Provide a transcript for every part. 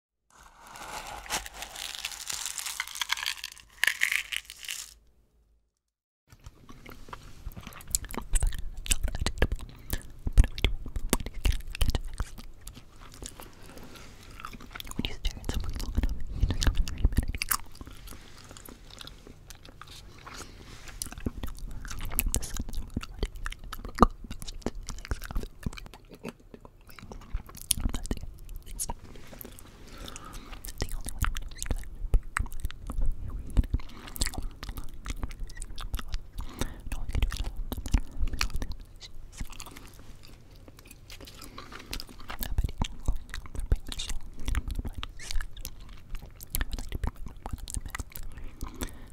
When you stare at someone long enough, you just come three minutes. I know the sun is Wait, I'm not doing it. The only way to do that no one can do it alone, no matter how little I bet you can for being the soul, the blind side. I would like to be one of the men.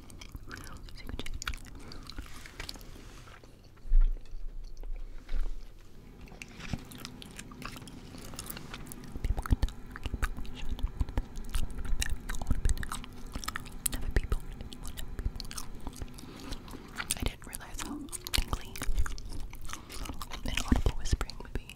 Never people, I didn't realize how tingly an audible whispering would be.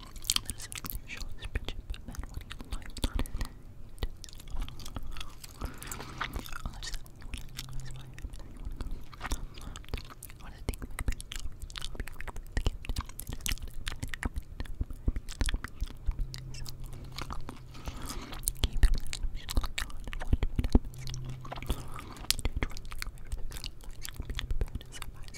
That is an unusual expression, but man, when you lie on it, Unless you want to analyze my head, and you want to go, I'm loved. I want to take my bed, I'll be with the captain. It is not happening, happening, happening. So, keep the conversation going on and watch what happens. Do you try to remember the girl? Being prepared to survive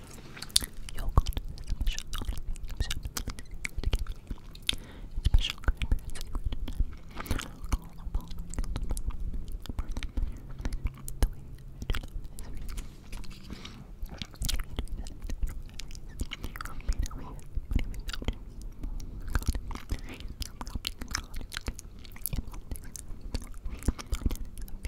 Yogurt is a special special grandparents' secret Call upon the birth of the year the way to love is real. If you do that,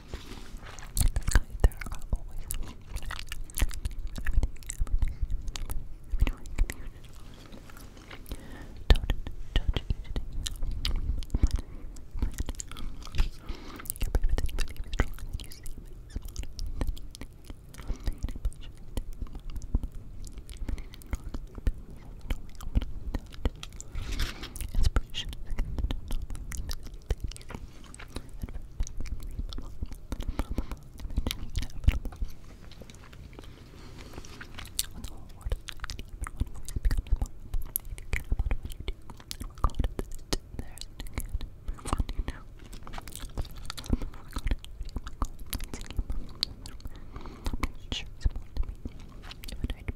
there are always everything, everything, everything, everything. Don't judge each day. Get rid of it, believe it's wrong, and you see it's wrong. Then you think, I'm making a bunch of things. I'm making it wrong. Inspiration is When the whole world is even one voice becomes a problem. If you care about what you do and work hard at it, there's no good for what you know. Work hard at it, my goal, that's a game. I'm pretty sure it's important to me. If I died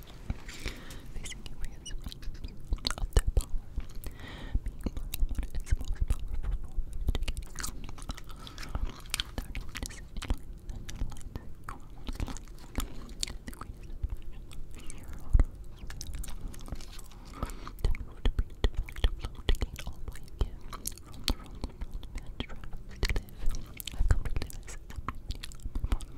Facing areas of their power, being more is most powerful form of education. Their darkness is light, and their light is the light. The greatest admiration to move to breathe, to fly, to flow, to gain all what you give. From the realms of knowledge, man travels to live. I've come to live as a many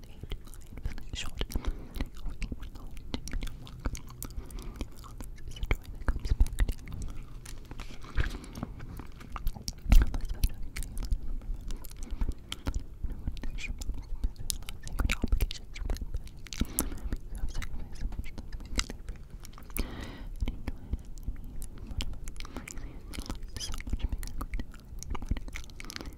eight short or eight long minute walk. This is a joy that comes back to you. Sacred obligations from you have sacrificed so much that we can live and enjoy it and even more so much bigger good. What is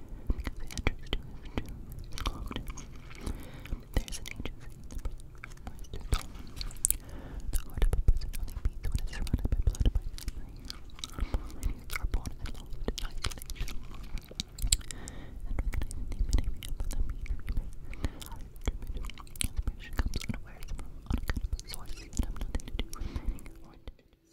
because the There's an agency the heart of a person only beats when surrounded by blood by are born and locked in isolation. And recognizing the epitome of the mean human, inspiration comes unawares from unaccountable sources that have nothing to do